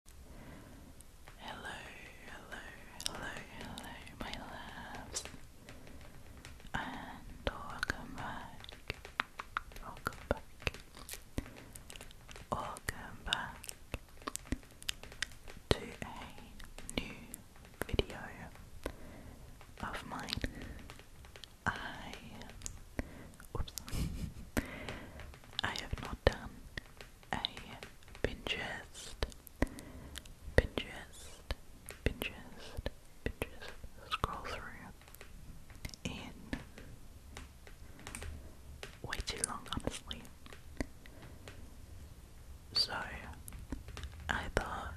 Hello, hello, hello, hello, my loves, and welcome back. Welcome back. Welcome back to a new video of mine. I, oops, I have no done a Pinterest, Pinterest, Pinterest, Pinterest scroll through in way too long, honestly. So I thought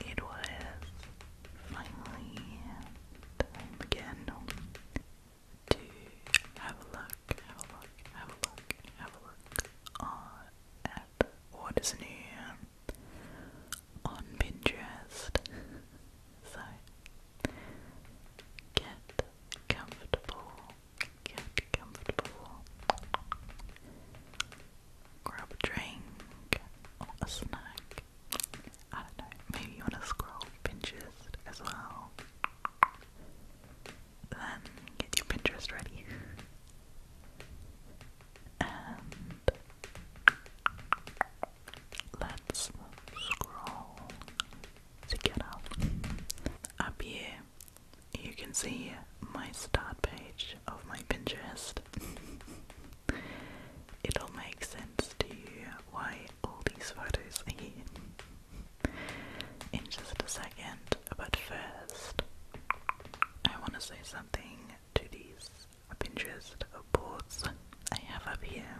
it was finally time again to have a look, have a look, have a look, have a look on what is new on Pinterest. so get comfortable, get comfortable. Grab a drink a snack. I don't maybe you want to scroll Pinterest as well. Then get your Pinterest ready. And let's scroll to get up. Up here, you can see my start page of my Pinterest. It'll make sense to you why all these photos again in just a second, but first, I want to say something to these Pinterest boards I have up here.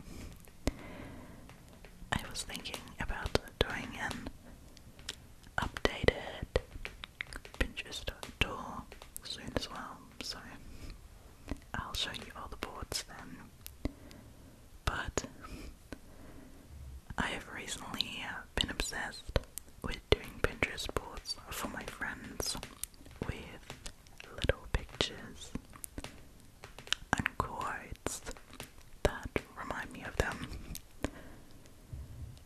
I was thinking about doing an updated Pinterest tour soon as well, so I'll show you all the boards then. But I have recently uh, been obsessed with doing Pinterest boards for my friends with little pictures and quotes that remind me of them.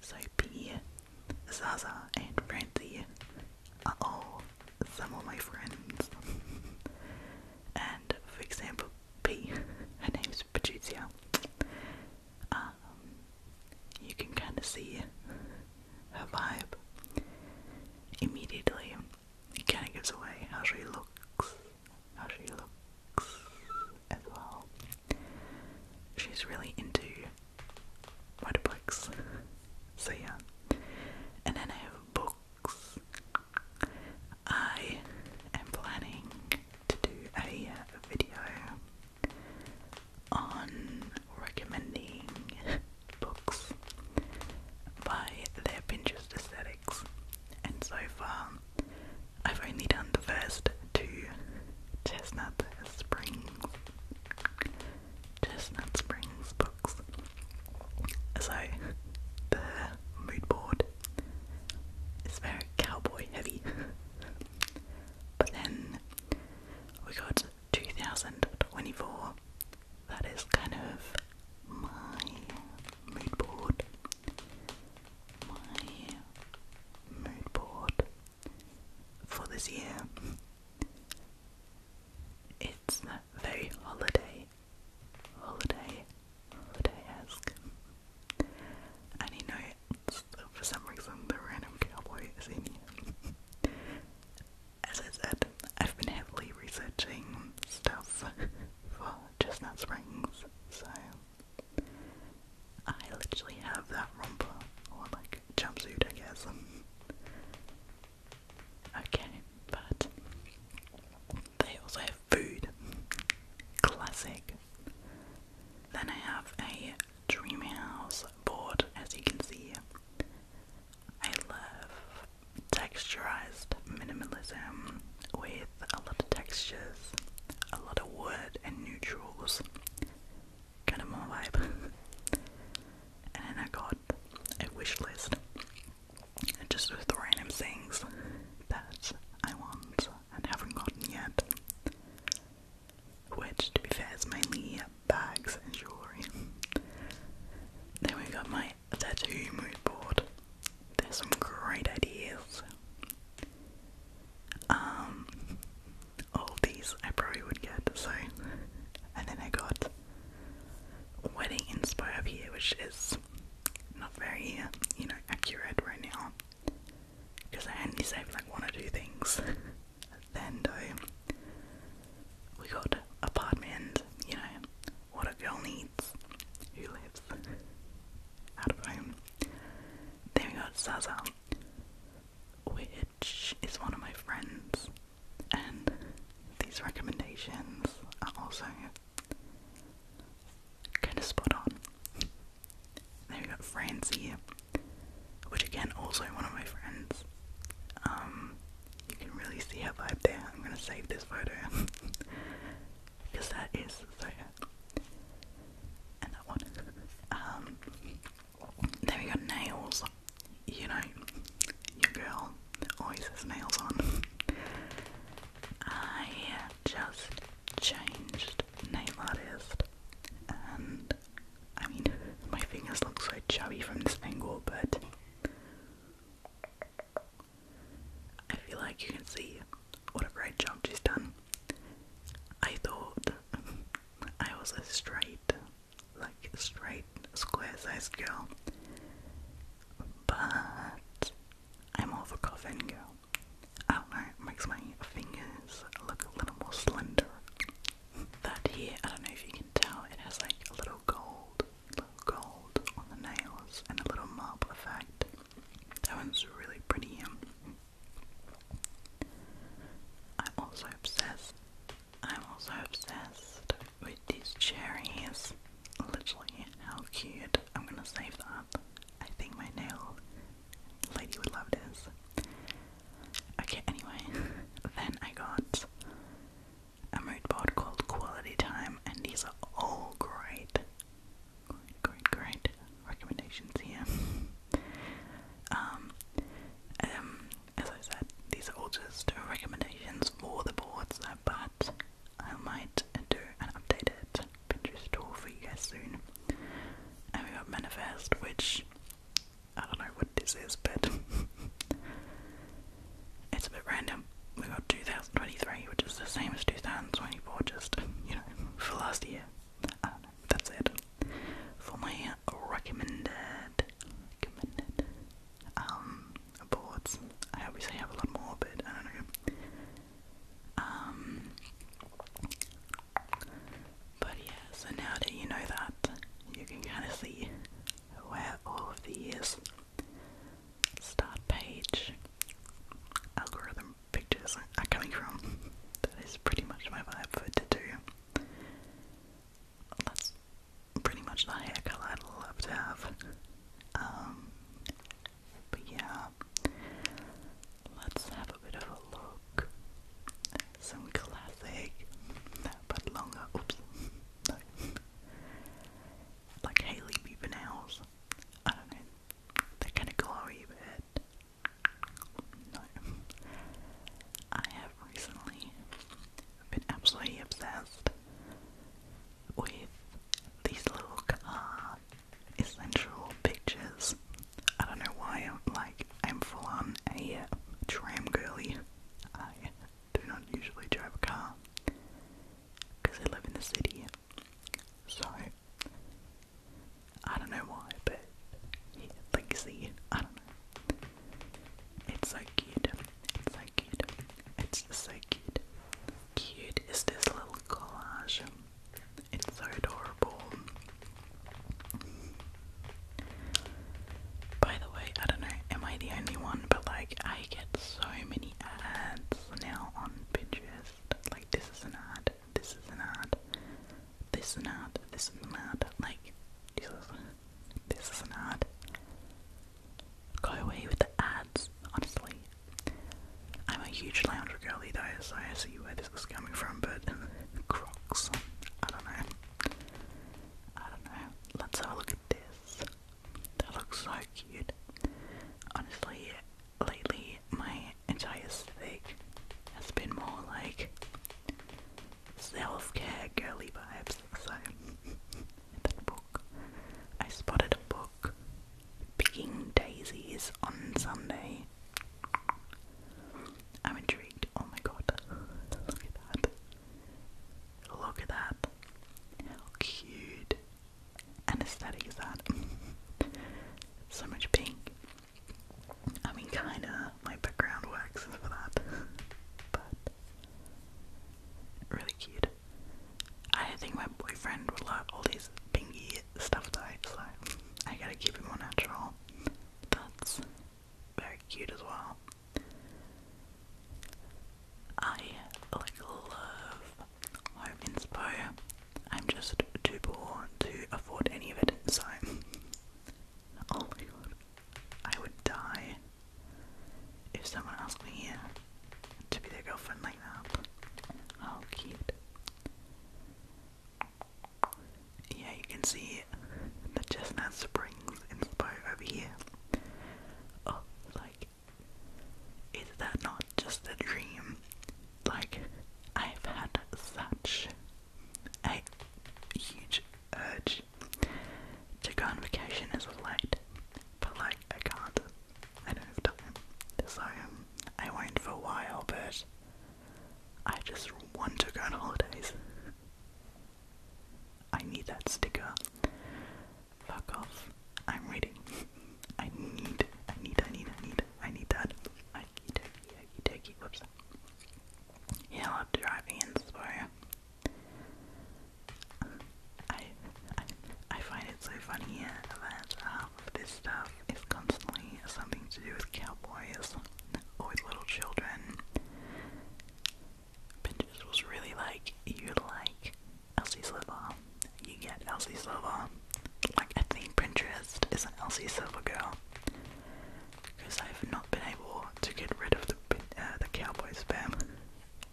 Soapy, Zaza, and Francie are all some of my friends and for example P, her name's Patricia, um, you can kind of see her vibe immediately. It kind of gives away how she looks, how she looks as well. She's really into motorbikes, so yeah. And then I have a book I am planning to do a uh, video on recommending books by their Pinterest aesthetics, and so far I've only done the first two Chestnut Springs. Chestnut Springs books. So the mood board is very cowboy heavy. but then we got 2024. That is kind of my mood board. My mood board for this year. It's very holiday, holiday, holiday-esque. And you know, for some reason, the random cowboy is in here. As I said, I've been heavily researching stuff for Chestnut Springs, so I literally have that romper, or like jumpsuit, I guess. Okay, but they also have food. Classic. Then I have a dream house board, as you can see. I love texturized minimalism with a lot of textures, a lot of wood and neutrals. Kind of more vibe. And then I got a wish list just with the random things that I want and haven't gotten yet. Which, to be fair, is mainly bags and jewellery. then we got my tattoo mood board. There's some great ideas. Um, all these I probably would get, so. And then I got wedding inspo here, which is not very, you know, accurate right now. Because I only saved like one or two things. then we got apartment, you know, what a girl needs, who lives out of home. Then we got Zaza, which is one of my friends and these recommendations are also kind of spot on. Then we got France which again, also one of my friends. Um, you can really see her vibe there. I'm gonna save this photo because that is so her. And that one. Um, then we got nails. You know, your girl always has nails on. I just changed nail artist and I mean my fingers look so chubby from this angle but I feel like you can see what a great job she's done. I thought I was a straight like straight square sized girl. But I'm more of a coffin girl. I don't know, makes my fingers look a little more slender. That here, I don't know if you can tell, it has like a little gold, little gold on the nails and a little marble effect. That one's really pretty. Um. i also obsessed I'm also obsessed with these cherries. Literally, how cute. I'm gonna save that. I think my nail lady would love this. Okay, anyway, then I got a mood board called Quality Time, and these are all great. Great, great, recommendations here. Um, um, as I said, these are just recommendations for the boards, but I might do an updated Pinterest tool for you guys soon. And we got Manifest, which I don't know what this is, but it's a bit random. We got 2023, which is the same as 2024, just, you know, for last year. that's it. For my recommended, recommended, um, boards. I obviously have a lot more, but I don't know. Um, but yeah, so now that you know that, you can kind of see where all of these start page algorithm pictures are coming from. that is pretty much my vibe for to that's pretty much the hair color I'd love to have. Um, but yeah, let's have a bit of a look. Some classic, but longer. Oops, Like Haley Bieber nails. I don't know. They're kind of glowy, but I have recently I've been absolutely obsessed with these little car essential pictures. I don't know why I'm like I'm full on a uh, tram girly. I do not usually drive a car because I live in the city. So I don't know why, but yeah, legacy, I don't know. It's so cute. It's so cute. It's so cute. Cute is this little collage. It's so adorable. By the way, I don't know, am I the only one? But like, I get so many ads now on Pinterest. Like, this is an ad, this is an ad, this is an ad, this is an ad. Like, Jesus. This is an ad. Go away with the ads, honestly. I'm a huge lounger girly though, so I see where this is coming from, but Crocs, I don't know. I don't know. Let's have a look at this. That looks so cute. Honestly, lately my entire aesthetic has been more like self-care girly vibes. So in that book, I spotted a book picking daisies on Sunday. I'm intrigued. Oh my god! Look at that! Look at that! How cute and aesthetic is that? so much pink. I mean, kinda my background works for that, but Really cute. I think my boyfriend would like all these pinky stuff that I just like. I gotta keep it more natural. That's very cute as well. I like love home I'm just too poor to afford any of it, so oh my I would die if someone asked me to be their girlfriend like that. Oh, cute. Yeah, you can see the Chestnut Springs inspired over here. Oh, like, is that not just a dream? Like, I've had such a huge urge to go on vacation is late, but like I can't. I don't have time. So I won't for a while, but I just want to go on holidays. I need that sticker. Fuck off. I'm reading. I need, I need, I need, I need, I need that. Okie dokie, okie dokie, whoops. Yeah, I love driving in, so I, I, I find it so funny that half um, of this stuff is constantly something to do with cowboys or with little children. Pinterest was really like, you like Elsie Silver, you get Elsie Silver. Like, I think Pinterest is an Elsie Silver girl because I have not been able to get rid of the uh, the cowboy spam.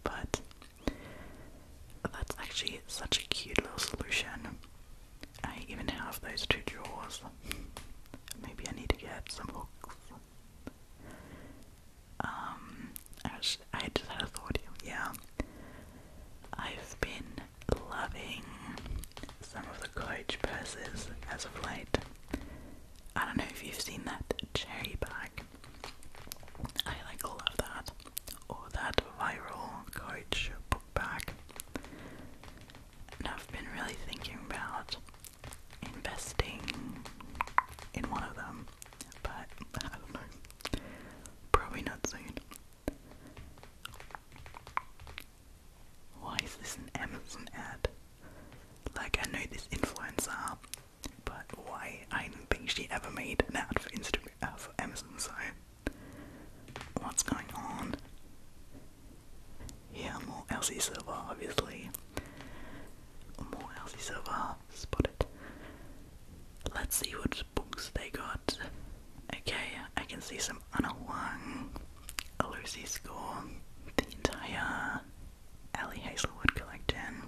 But that's actually such a cute little solution. I even have those two drawers. Maybe I need to get some hooks. Um, I, was, I just had a thought. Yeah, I've been loving some of the coach purses as of late. I don't know if you've seen that cherry bag. I like love that. Or that viral couch book bag. And I've been really thinking about investing in one of them. But I don't know. Probably not soon. Why is this an Amazon ad? Like, I know this influencer, but why? I do not think she ever made an ad for Instagram, uh, for Amazon, so what's going on? Yeah, more Elsie Silver, obviously. More Elsie Silver, spotted. Let's see what books they got. Okay, I can see some Anna Wang, a Lucy Score, the entire Ellie Hazelwood collecting.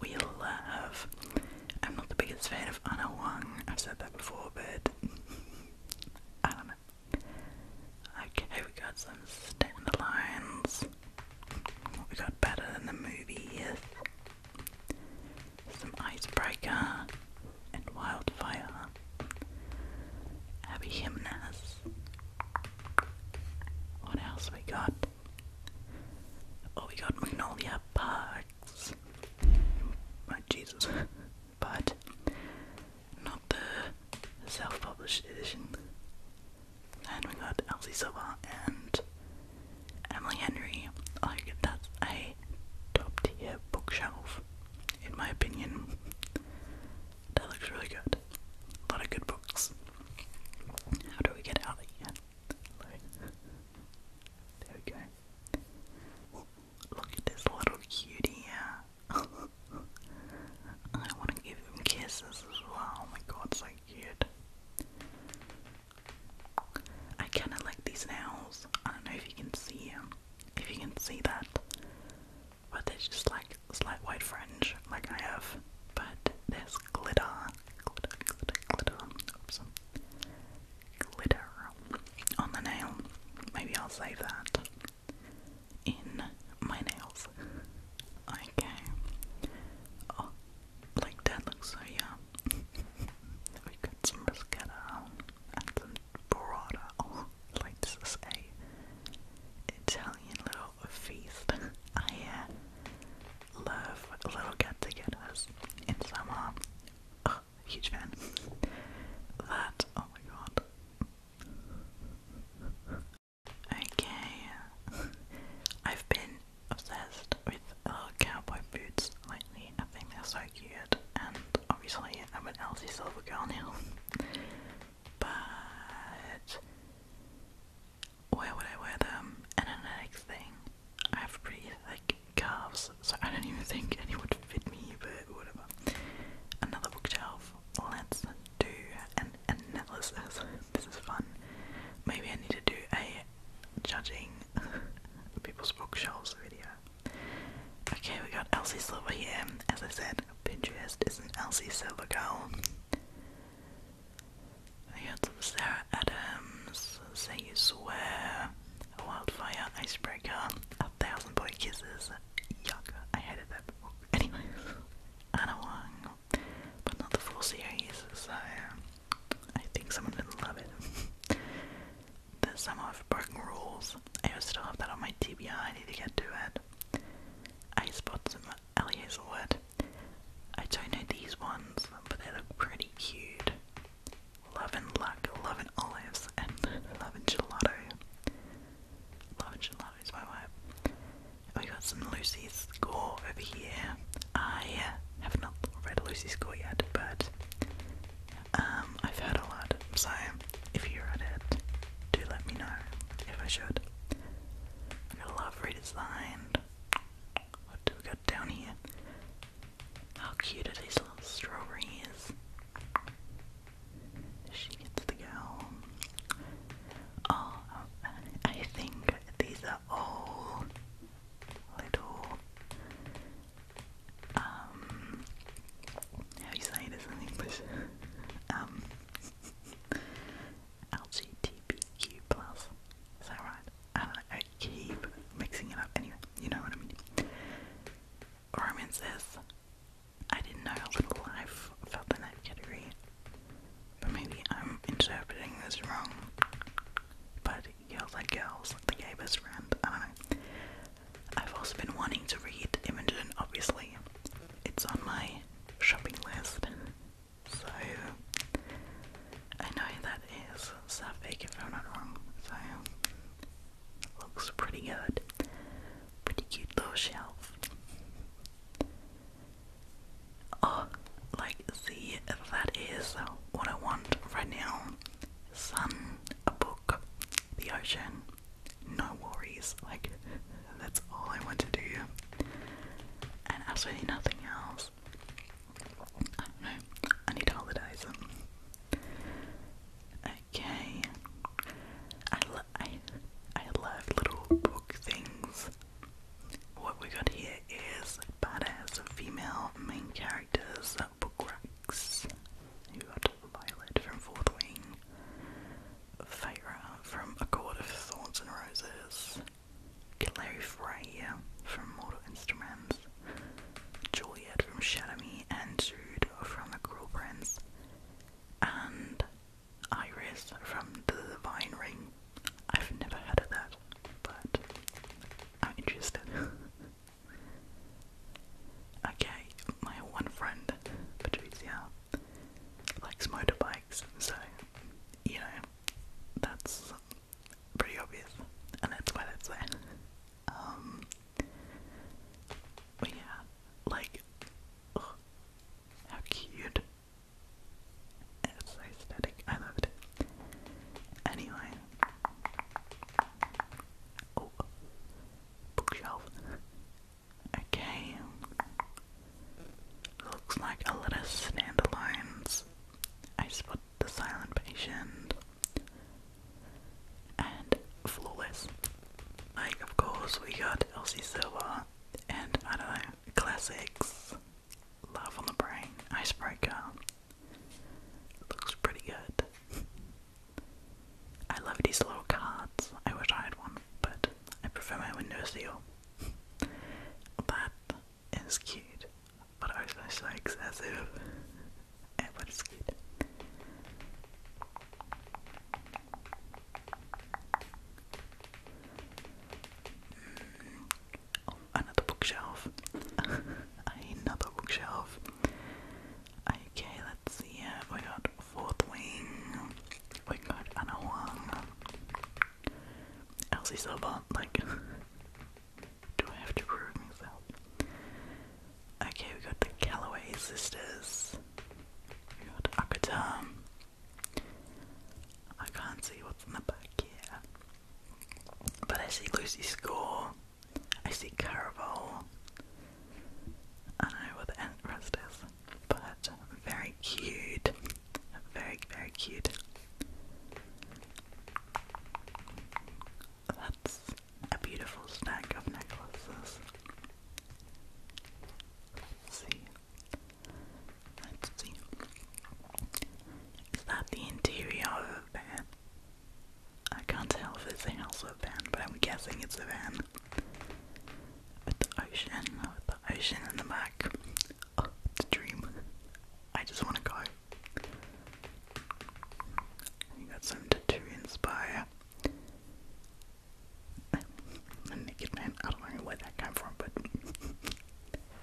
We love. I'm not the biggest fan of Anna Wang, I've said that before, but I don't know. Okay, we got some standalones. we got better than the movies? Some Icebreaker and Wildfire. Abby Jimenez. What else we got? Oh, we got Magnolia Parks. Oh, Jesus. but not the self published edition. And we got Elsie Silva and Emily Henry. Like, that's a top tier bookshelf, in my opinion. That looks really good. A lot of good books. How do we get out again? There we go. look at this little cutie here. I want to give him kisses as well. Oh my god, so cute. I kind of like these nails. I don't know if you can see If you can see that, but there's just like slight white fringe like I have, but there's glitter, glitter, glitter, glitter, oops, glitter on the nail. Maybe I'll save that in my nails. Okay. Oh, like that looks so yum. we got some mascara and likes to say, Italian little feast. I uh, love little get-togethers in summer. huge fan. That, oh my god. Okay, I've been obsessed with little uh, cowboy boots lately. I think they're so cute, and obviously I'm an Elsie Silver girl now. but where would I wear them? And then thing, I have pretty thick calves, so I don't even think any would fit me, but whatever. Another bookshelf. Let's do an analysis. This is fun. Maybe I need to do a judging people's bookshelves video. Okay, we got Elsie Silver here. As I said, Pinterest is an Elsie Silver girl. We got Sarah Adams, Say You Swear, a Wildfire, Icebreaker, A Thousand Boy Kisses. Yuck, I hated that book. Anna Wong, but not the full series, so I think someone didn't love it. The Summer of Broken Rules, I still have that on my TBI, I need to get to it. I spotted some Ellie Hazelwood. I don't know these ones, but they look pretty cute. Love luck, love olives, and love and gelato. Love gelato is my vibe. We got some Lucy's score over here. I have not read Lucy's score yet, but um, I've heard a lot, so if you read it, do let me know if I should. I got a love redesigned. What do we got down here? How cute are these little strawberries? She gets the girl. Oh, um, I think these are all little um, how you say this in English? Um, LGBTQ plus, is that right? I don't know, I keep mixing it up. Anyway, you know what I mean. Roman says, I didn't know a little life fell in that category, but maybe I'm interpreting this wrong. But girls like girls, the gay friend, I don't know. I've also been wanting to read Imogen, obviously. It's on my shopping list. So I know that is Suffolk if I'm not wrong. So looks pretty good. Pretty cute little shelf. Oh, like see that is what I want right now. Sun, a book, the ocean no worries. Like, that's all I want to do, and absolutely nothing else. I don't know. I need Okay. I love I I love little book things. What we got here is badass female main characters book racks. You got Violet from Fourth Wing, Feyre from A Court of Thorns and Roses, Hilary Freya from Mortal Instruments, Juliet from Shadow Me, and Jude from The Cruel Prince, and Iris from The Vine Ring. I've never heard of that, but I'm interested. Okay, my one friend, Patricia, likes motorbikes, so, you know, that's pretty obvious, and that's why that's there. Um, but yeah, like, oh, how cute. It's so aesthetic, I love it. Anyway. Oh, bookshelf. Okay. Looks like a lot of standalones. I spot the silent patient. And flawless. Like, of course, we got Elsie Silver and I don't know, classics. Love on the Brain, Icebreaker. Looks pretty good. I love these little cards. I wish I had one, but I prefer my Windows deal. that is cute, but also so excessive. but it's cute. Mm. Oh, another bookshelf. another bookshelf. Okay, let's see uh, We got Fourth Wing. We got Anna Huang. Elsie Silva. Like, do I have to prove myself? Okay, we got the Calloway sisters. We got Akuta. I can't see what's in the back here. But I see Lucy Score. I see Caravel. I know what the end is, but very cute. Very, very cute. That's a beautiful stack of necklaces. see. Let's see. Is that the interior of a I can't tell if it's also a van, but I'm guessing it's a van. With the ocean, with the ocean in the back. it's oh, a dream. I just want to go. You got something to, to inspire. naked man. I don't know where that came from, but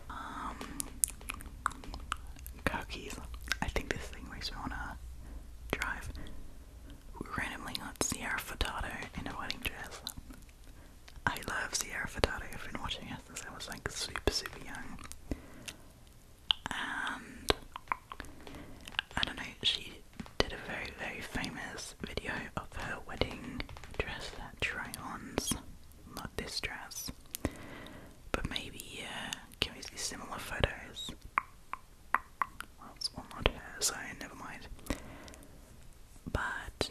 um, cookies. I think this thing makes me to drive. We randomly got Sierra Furtado in a wedding dress. I love Sierra Furtado. I've been watching her since I was like super, super young. And I don't know, she did a very, very famous video of her wedding dress that try ons. Not this dress. But maybe, yeah, uh, can we see similar photos? Well, not her, so never mind. But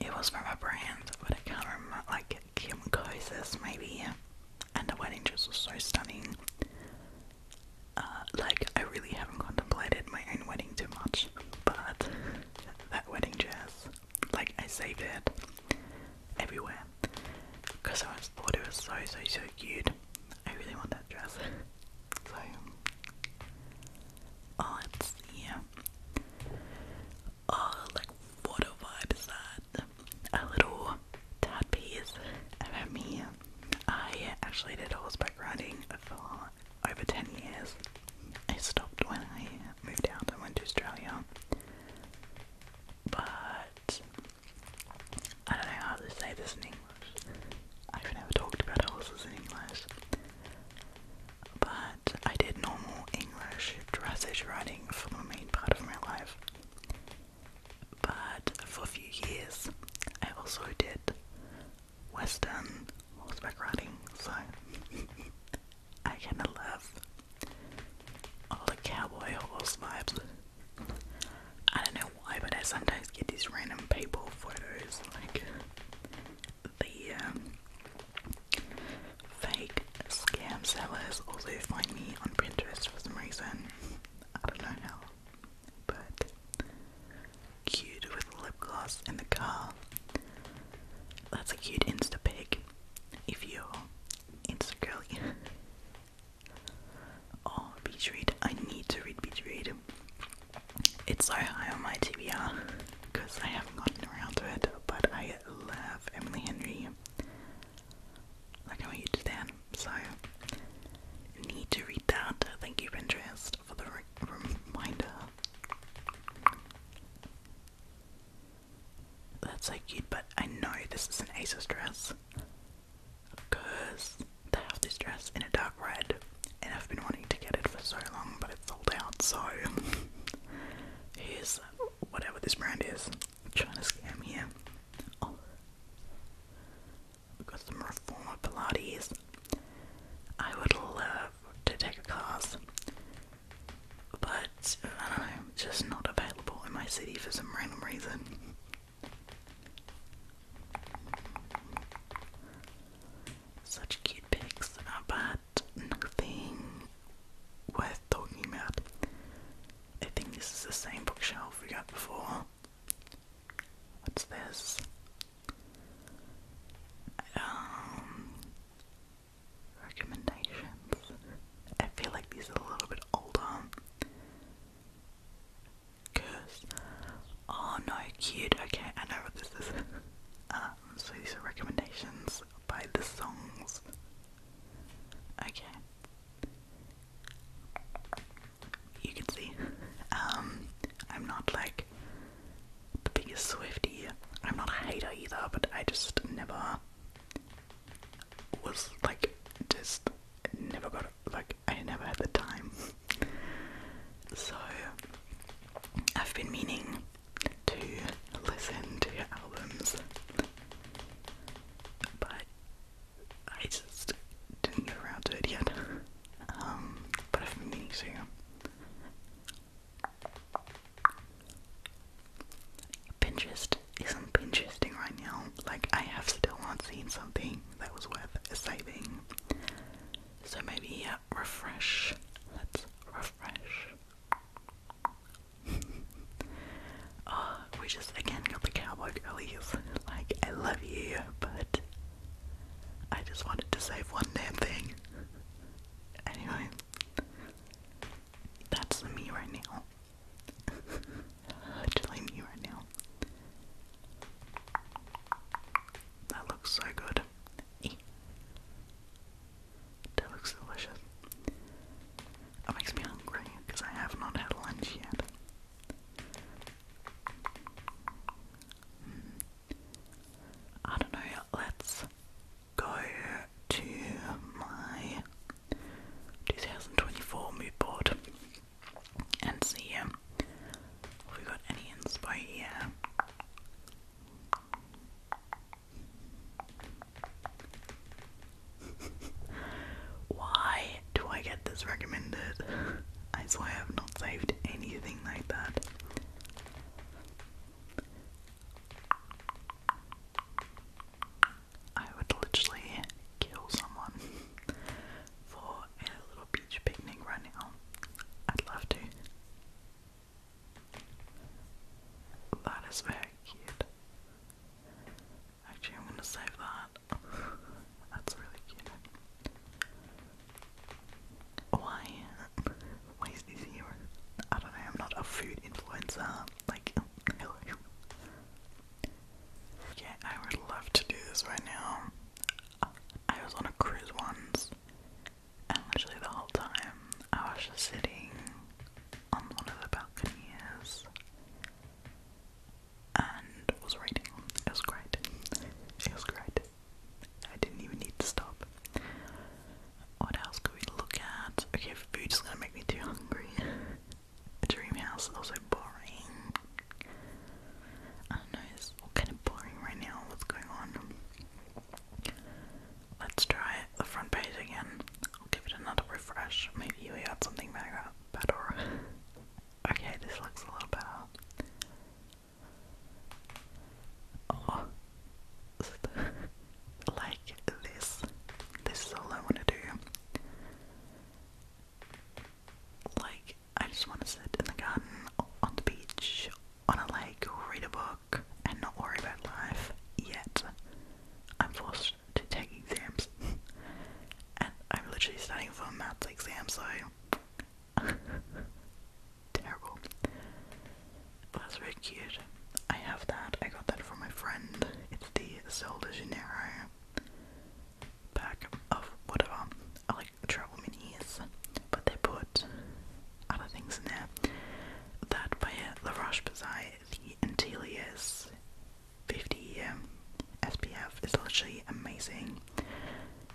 it was from a brand, but I can't remember, like Kim Kosis maybe. And the wedding dress was so stunning. Uh, like, I really haven't contemplated my own wedding too much, but that wedding dress, like, I saved it everywhere because I was just thought it was so, so, so cute. I really want that dress. so, oh, yeah. Oh, like, what a vibe is that? A little tad piece about me. I actually did horseback riding for over 10 years. I stopped when I moved out and went to Australia. But I don't know how to say this in English. I've never talked about horses in English. But I did normal English dressage riding for the main part of my life. But for a few years, I also did Western horseback riding, so I kind of love all oh, the cowboy horse vibes. I don't know why, but I sometimes get these random people photos, like the um, fake scam sellers also find me on Pinterest for some reason. I don't know but cute with lip gloss in the car. That's a cute Insta pic. If you're it's oh, Beach Read. I need to read Beach Read. It's so high on my TBR because I haven't gotten around to it, but I love Emily Henry. Like I'm a huge fan, so need to read that. Thank you, Pinterest, for the reminder. That's so cute, but I know this is an ASOS dress because they have this dress in a dark red and I've been wanting to get it for so long but it's sold out so here's whatever this brand is. trying to scam here. Oh. We've got some reformer Pilates. I would love to take a class but I don't know, just not available in my city for some random reason. Such cute pics, but nothing worth talking about. I think this is the same bookshelf we got before. What's this? Um, recommendations. I feel like these are a little bit older. Curse. Oh no, cute. Okay, I know what this is. Uh, so these are recommendations by the songs. Okay. You can see. Um, I'm not like the biggest Swifty. I'm not a hater either, but I just never was like just never got like I never had the time. so I've been meaning to listen to your albums, but I just didn't get around to it yet. Um, but I've meaning to. Pinterest isn't Pinteresting right now. Like I have still not seen something that was worth saving. So maybe yeah, refresh. Let's refresh. Oh, we just again got the cowboy girlies. Like I love you, but I just wanted to save one damn thing. Anyway, that's me right now. Telling me right now. That looks so good. That looks delicious. That makes me hungry because I have not had lunch yet. Hmm. I don't know. Let's go to my 2024 mood board and see um, if we got any inspo here. Why do I get this recommended? I swear I've not saved anything like that. I would literally kill someone for a little beach picnic right now. I'd love to. That is very cute. Actually, I'm gonna save that. That's really cute. Why? Why is this here? I don't know, I'm not a food influencer. Like, Yeah, I would love to do this right now. I was on a cruise once, and literally the whole time I was just sitting on one of the balconies and was reading. It was great. It was great. I didn't even need to stop. What else could we look at? Okay, food is gonna make me too hungry. Dream house is also boring. I know, it's all kind of boring right now. What's going on? Let's try the front page again. I'll give it another refresh. Maybe we got something better. okay, this looks a little better. Oh, like this. This is all I want to do. Like, I just want to sit in the garden, on the beach, on a lake, read a book, and not worry about life. Yet, I'm forced to take exams. and I'm literally studying for a maths exam, so. Terrible that's very cute. I have that. I got that from my friend. It's the Sol de Janeiro pack of whatever. I like travel minis, but they put other things in there. That by La Roche Bazai, the Antelias 50 m SPF is literally amazing.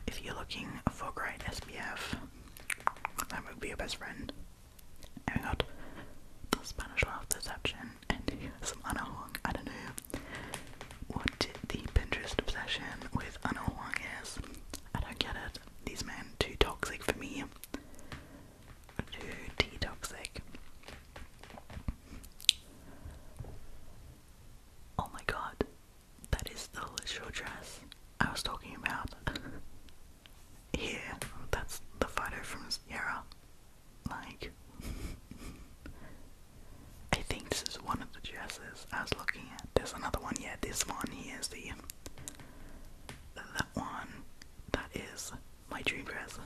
If you're looking for great SPF, that would be your best friend. Oh my Spanish laugh deception and US Anna I don't know what the Pinterest obsession with Anna is. I don't get it. These men too toxic for me. Too tea Oh my god. That is the literal dress I was talking about. here, that's the photo from Sierra. Like, I think this is one of the dresses I was looking at. There's another one, yeah, this one here is the, that one, that is my dream dress,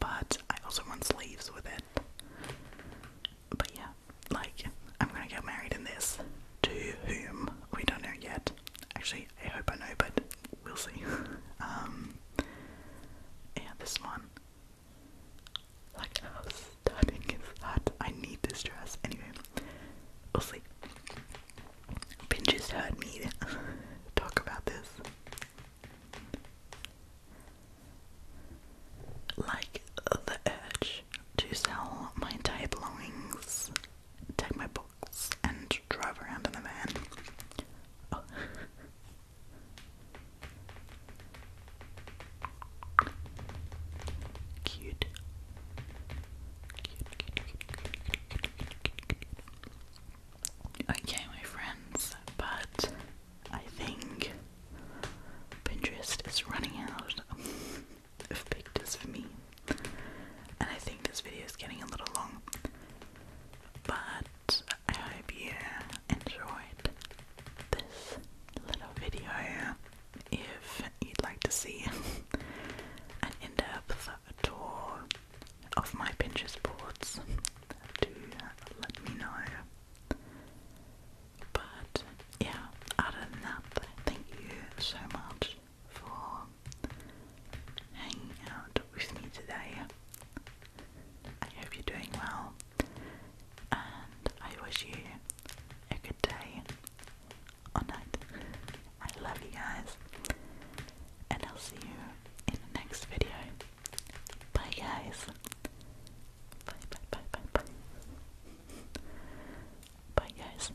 but I also want sleeves with it. But yeah, like, I'm gonna get married in this. To whom? We don't know yet. Actually, I hope I know, but we'll see. Um, yeah, this one. Like, stunning is that? I need this dress. Anyway, we'll see. Pinch just me talk about this. Like, the urge to sell my entire belongings, take my and drive around in the van. Oh. Cute, cute, cute, cute, cute, cute, cute, cute. Okay, my friends, but I think Pinterest is running out. of pictures for me. And I think this video is getting a little long, but I hope you enjoyed this little video. If you'd like to see an in depth tour of my Pinterest boards, do let me know. But yeah, other than that, thank you so much for hanging out with me today. I hope you're doing well, and I wish you a good day or night. I love you guys, and I'll see you in the next video. Bye, guys. Bye, bye, bye, bye, bye. Bye, guys.